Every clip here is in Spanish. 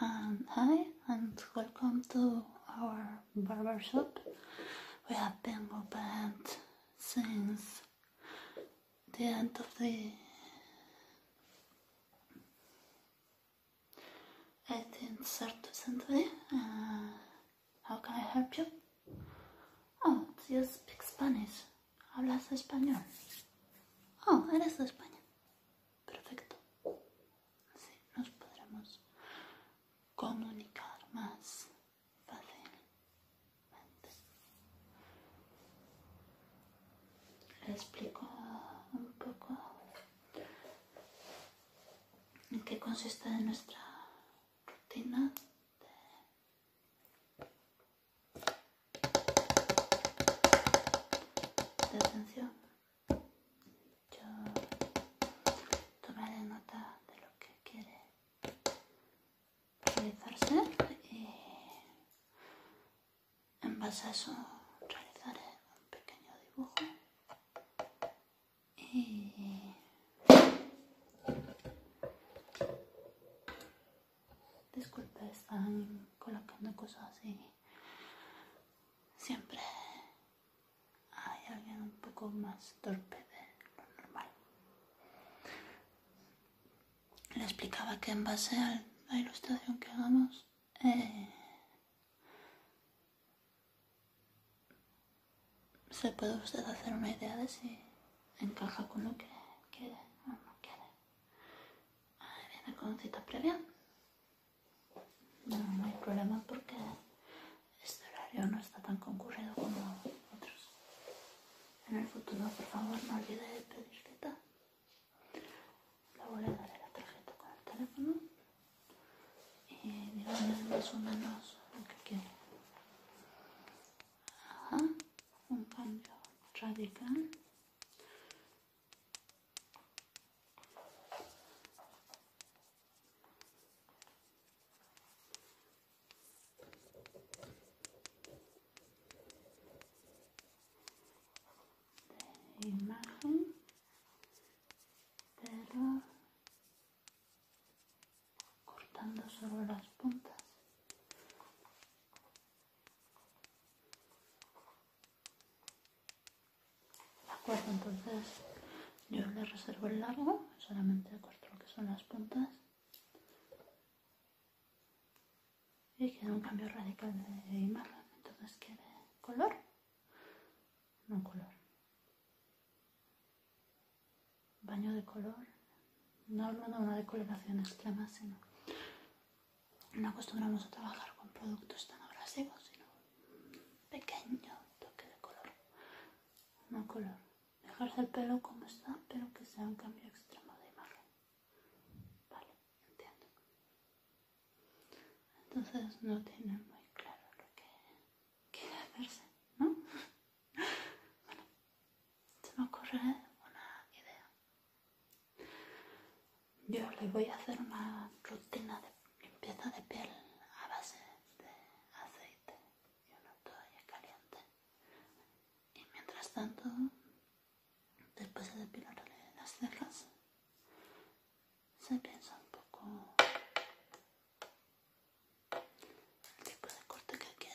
Um, hi and welcome to our barbershop. We have been open since the end of the 18th century. Uh, how can I help you? Oh, you speak Spanish. Hablas español. Oh, eres de España. Perfecto. Así nos podremos comunicar más fácilmente. Le explico un poco en qué consiste nuestra rutina. De, atención yo tomaré nota de lo que quiere realizarse y eh, en base a eso realizaré un pequeño dibujo y disculpe están colocando cosas así siempre hay alguien un poco más torpe de lo normal. Le explicaba que en base a la ilustración que hagamos, eh, se puede usted hacer una idea de si encaja con lo que quiere o no quiere. viene con cita previa. no hay problema porque este horario no está tan concurrido como otros. En el futuro, por favor, no olvide de pedir cita. Le voy a dar la tarjeta con el teléfono y díganme más o menos lo que quiere. Ajá, un cambio radical imagen pero cortando solo las puntas de acuerdo entonces yo le reservo el largo, solamente corto lo que son las puntas y queda un cambio radical de imagen, entonces quiere color, no color, baño de color, no una decoloración extrema, sino no acostumbramos a trabajar con productos tan abrasivos, sino un pequeño toque de color, no color dejarse el pelo como está, pero que sea un cambio extremo de imagen. Vale, entiendo. Entonces no tiene muy claro lo que quiere hacerse, ¿no? bueno, se me ocurre una idea. Yo le voy a hacer una rutina de limpieza de piel a base de aceite y una toalla caliente. Y mientras tanto, después de depilarle las cejas, se piensa un poco el tipo de corte que quiere.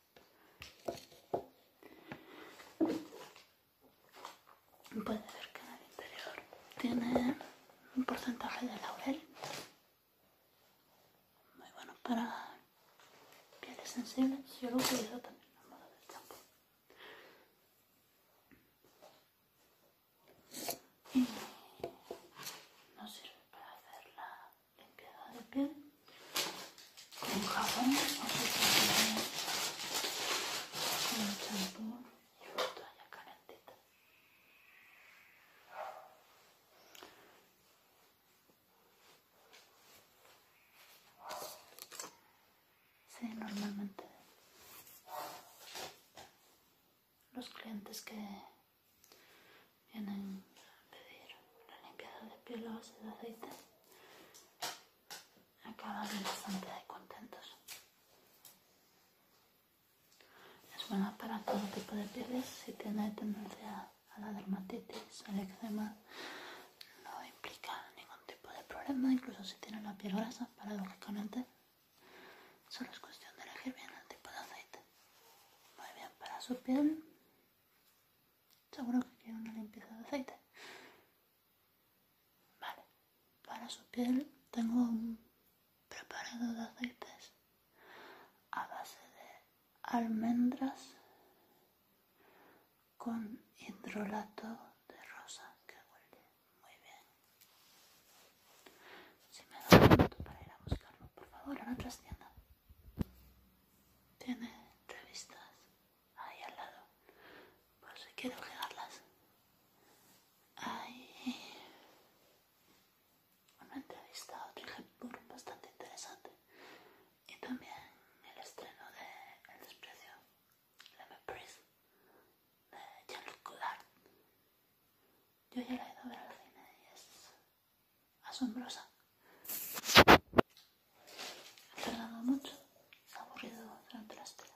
Puede ver que en el interior tiene un porcentaje de laurel muy bueno para pieles sensibles. Yo lo utilizado también en moda del champú. Y no sirve para hacer la limpiada de piel con jabón con champú y otra toalla calentita Sí, normalmente los clientes que vienen a pedir la limpieza de piel o base de aceite. Acaban bastante contentos. Es buena para todo tipo de pieles. Si tiene tendencia a la dermatitis, al eczema, no implica ningún tipo de problema. Incluso si tiene la piel grasa, paradójicamente, solo es cuestión de elegir bien el tipo de aceite. Muy bien para su piel seguro que quiere una limpieza de aceite. Vale, para su piel tengo un preparado de aceites a base de almendras con hidrolato de rosa que huele muy bien. Si me da un para ir a buscarlo, por favor, a otra tienda. Tiene entrevistas ahí al lado, por si quiero ojearlas. Hay una entrevista a otro ejemplo bastante interesante y también el estreno de El desprecio, La de Jean-Luc Godard. Yo ya la he ido a ver al cine y es asombrosa. Ha tardado mucho, se ha aburrido durante la espera.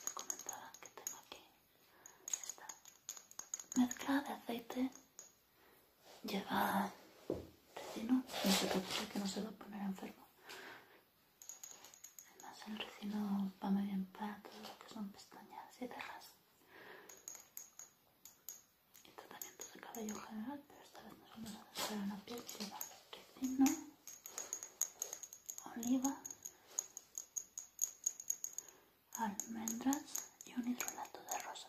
Me comentaba que tengo aquí esta mezcla de aceite. Lleva recino, no se que no se va a poner enfermo. Además el recino va muy bien para todo lo que son pestañas y cejas tratamientos de cabello general, pero esta vez nos vamos a hacer una piel que no, oliva, almendras y un hidrolato de rosa.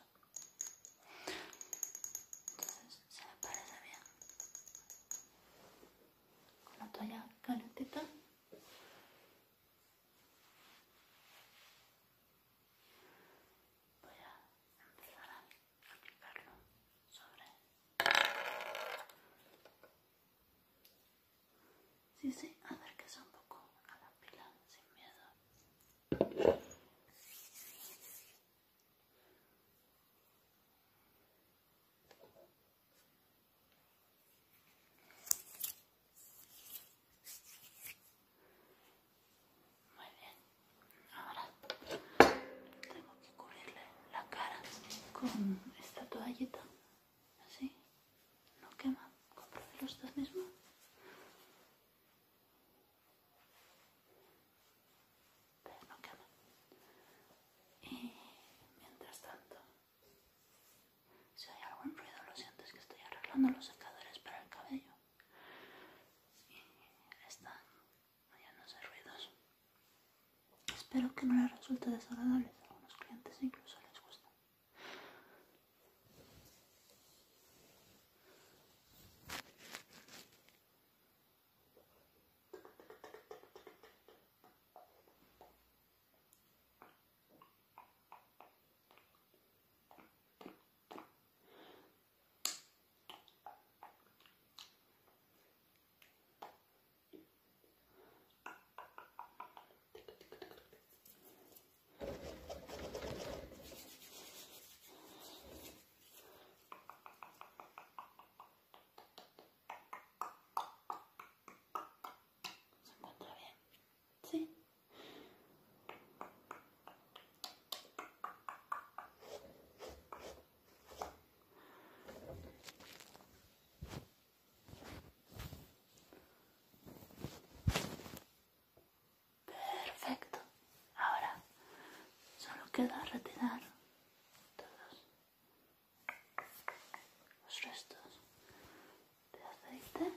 Entonces, se me parece bien. Con la toalla calentita voy a empezar a aplicarlo sobre sí, sí, acérquese un poco a la pila sin miedo muy bien. Ahora tengo que cubrirle la cara con esta toallita. Así. No quema. los usted mismo. Pero no quema. Y mientras tanto, si hay algún ruido, lo siento, que estoy arreglando los secadores para el cabello y no ruidos. Espero que no les resulte desagradable a algunos clientes, incluso les gusta. Se encuentra bien, sí. Perfecto. Ahora solo queda retirar todos los restos de aceite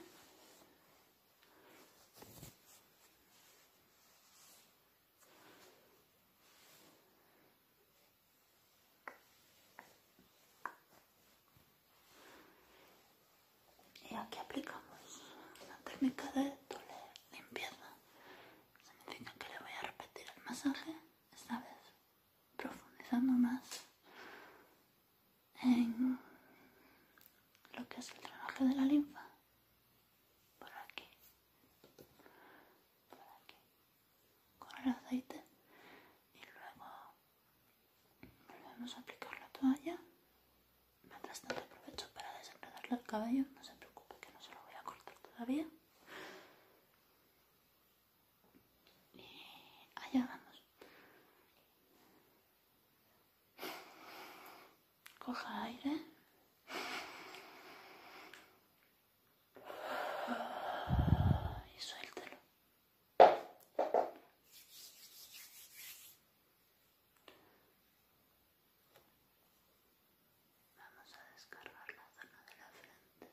y aquí aplicamos la técnica de doble limpieza. Significa que le voy a repetir el masaje, esta vez profundizando más en lo que es el drenaje de la linfa por aquí, por aquí, con el aceite y luego volvemos a aplicar la toalla. Mientras tanto aprovecho para desenredarle el cabello, no se preocupe que no se lo voy a cortar todavía. Y allá vamos. Coja aire. Y suéltelo. Vamos a descargar la zona de la frente.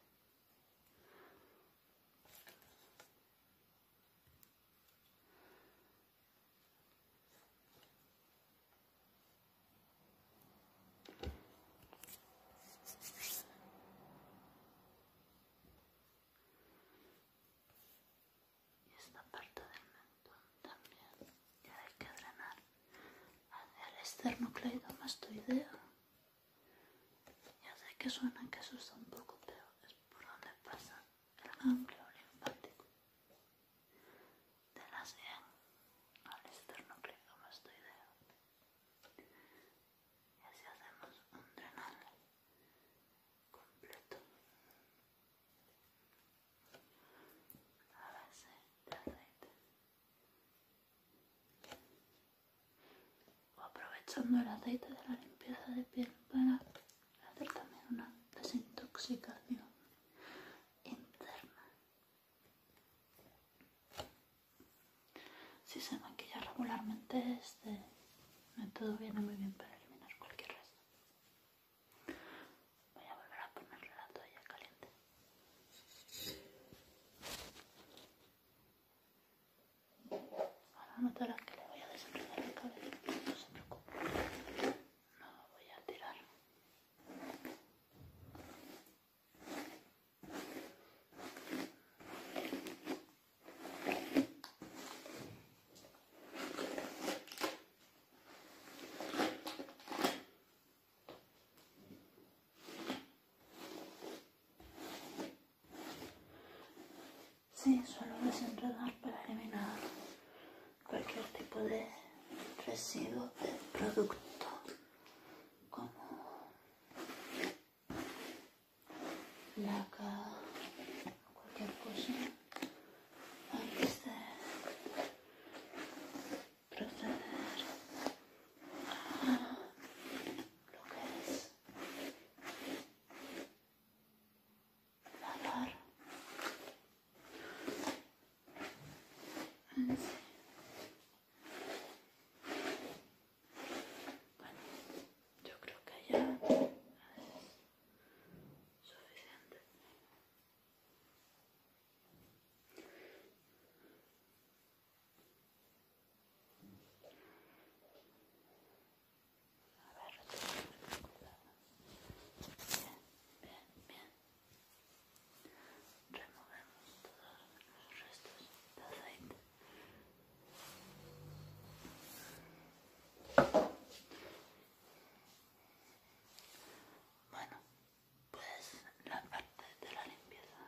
Y esta parte del mentón también, ya hay que drenar hacia el esternocleidomastoideo. Ya sé que suena que eso está un poco, pero es por donde pasa el ganglio linfático de la sien al externo esternocleidomastoideo y así hacemos un drenaje completo a base de aceite o aprovechando el aceite de la limpieza de piel para hacer también una desintoxicación interna. Si se maquilla regularmente este método viene muy bien para eliminar cualquier resto. Voy a volver a ponerle la toalla caliente. Ahora notarás que le voy a desenredar el cabello, no se preocupe. No voy a tirar Sí, solo dar para eliminar cualquier tipo de residuo, de producto como laca cualquier cosa Hay que proceder a lo que es lavar bueno, yo creo que ya es suficiente. A ver, bien, bien, bien. Removemos todos los restos de aceite. Bueno, pues la parte de la limpieza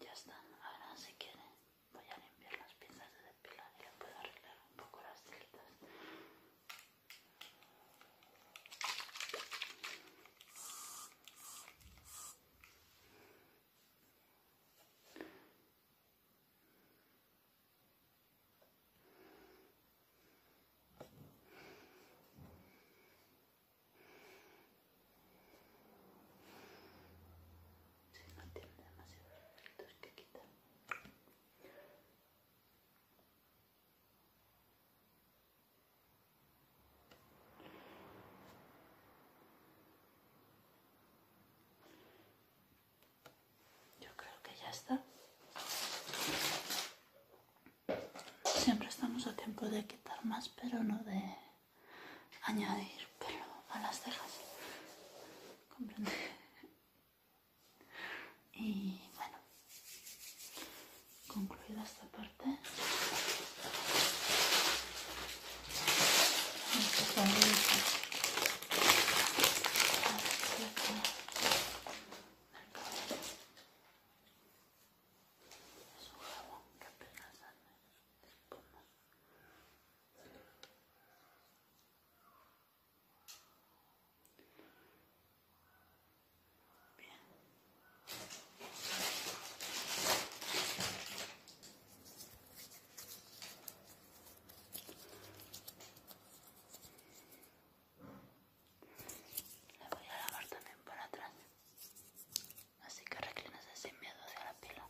ya está. Ahora si quiere voy a limpiar las pinzas de pila y le puedo arreglar un poco las cintas. Si no tiene demasiados efectos que quitar. Yo creo que ya está. Siempre estamos a tiempo de quitar más, pero no de añadir pelo a las cejas. Comprende. Y bueno, concluida esta parte. Bien. voy a lavar también por atrás. Así que reclínese sin miedo hacia la pila.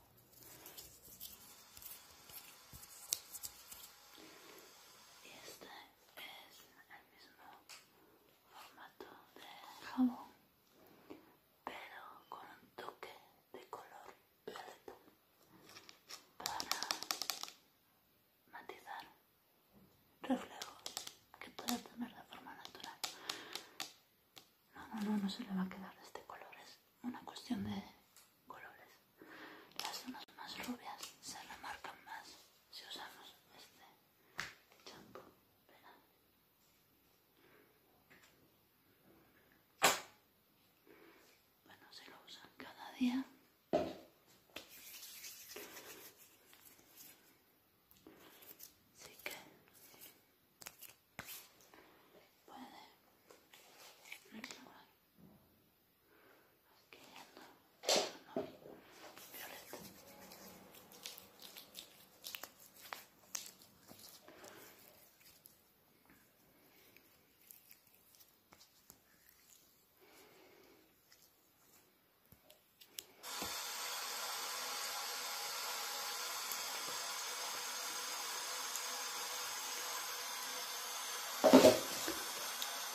Y este es el mismo formato de jabón pero con un toque de color violeta para matizar reflejos que pueda tener la forma natural no, no, no, no se le va a quedar de este color es una cuestión de colores las zonas más rubias se remarcan más si usamos este champú, Bueno, se lo usan cada día. Así que puede Aquí no, no, violeta. Voy a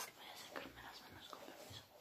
sacarme las manos con permiso.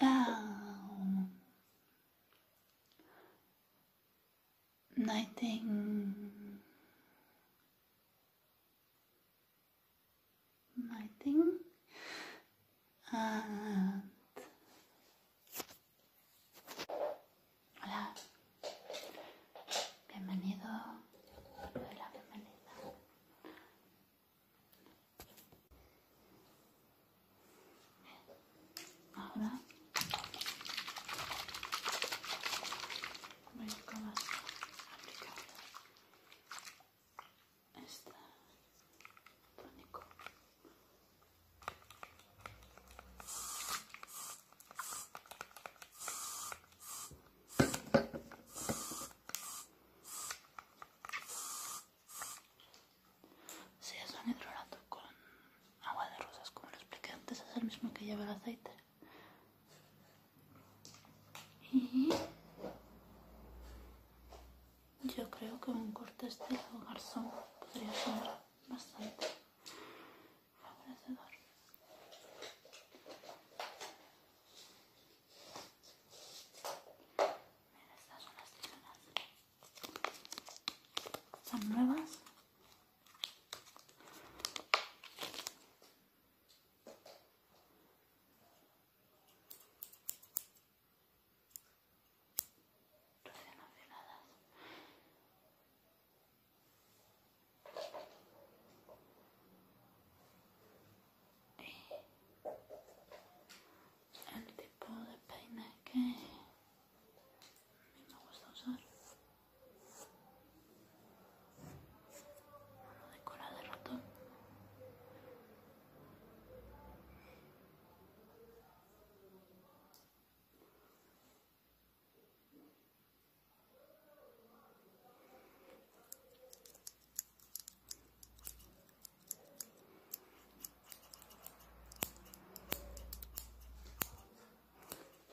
Ah... Um, Nighting... Nothing. And hola, bienvenido, hola, bienvenida Ahora voy a aplicar este tónico. Si es un hidrolato con agua de rosas, como lo expliqué antes, es el mismo que lleva el aceite. Y yo creo que un corte estilo garzón podría ser bastante favorecedor. Estas son las Son nuevas y el tipo de peine que me gusta usar uno de cola de ratón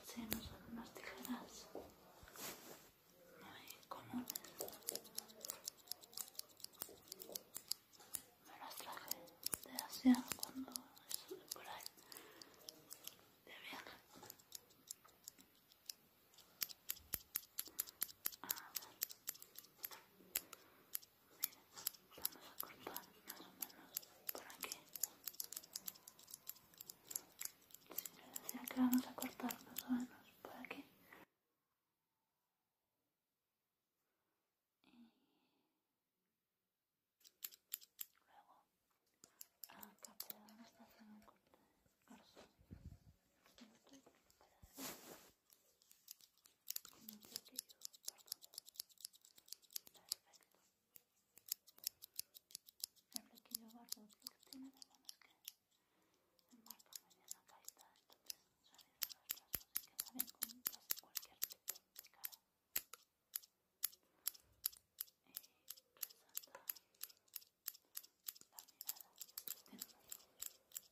Sí, no son unas tijeras muy comunes. Me las traje de Asia cuando estuve por ahí de viaje. A ver. Mira, vamos a cortar más o menos por aquí. decía que vamos a cortar más o menos por aquí. Y luego acá te vamos a hacer un corte de corazón. Para con sé qué yo perfecto el flequillo barro lo que tiene de bueno es que el marca por medio no caída entonces a los brazos y queda bien con casi cualquier tipo de cara y resalta la mirada tiene unos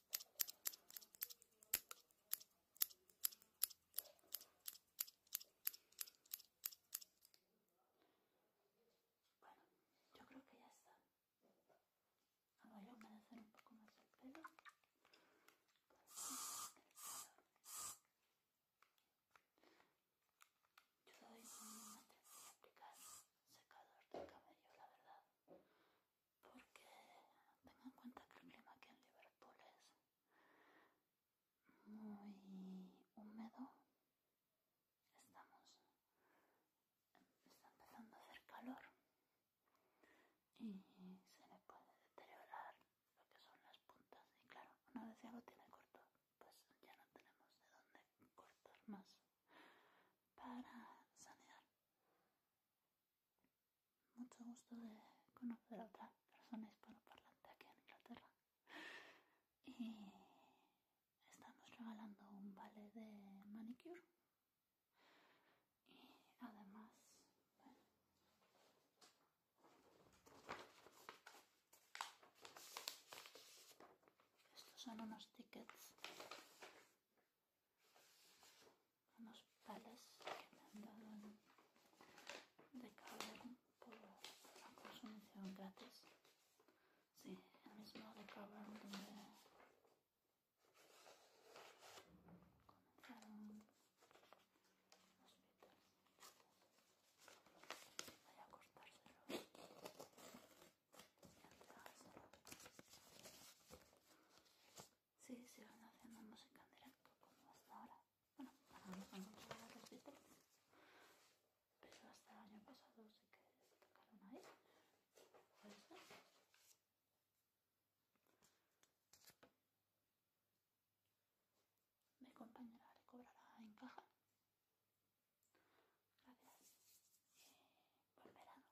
Bueno, yo creo que ya está. Ahora voy a humedecer un poco más el pelo. Yo doy una tendencia de aplicar secador de cabello, la verdad porque tenga en cuenta que el clima aquí en Liverpool es muy húmedo. Estamos está empezando a hacer calor y se le puede deteriorar lo que son las puntas y claro, una vez ya lo tiene corto, pues ya no tenemos de dónde cortar más para sanear mucho gusto de conocer a otra persona parlante aquí en Inglaterra. Y estamos regalando un vale de manicure. Y además, estos son unos tickets unos pales que me han dado en de cavern por la consumición gratis. Sí, el mismo de cavern donde comenzaron los Beatles. Voy a cortárselos y entregárselo. Sí, se van haciendo música en directo como hasta ahora. Bueno, ahora no a los títulos. Pero hasta el año pasado sí que se tocaron ahí. Puede ser. Mi compañera recobrará en caja. Gracias. Y buen verano.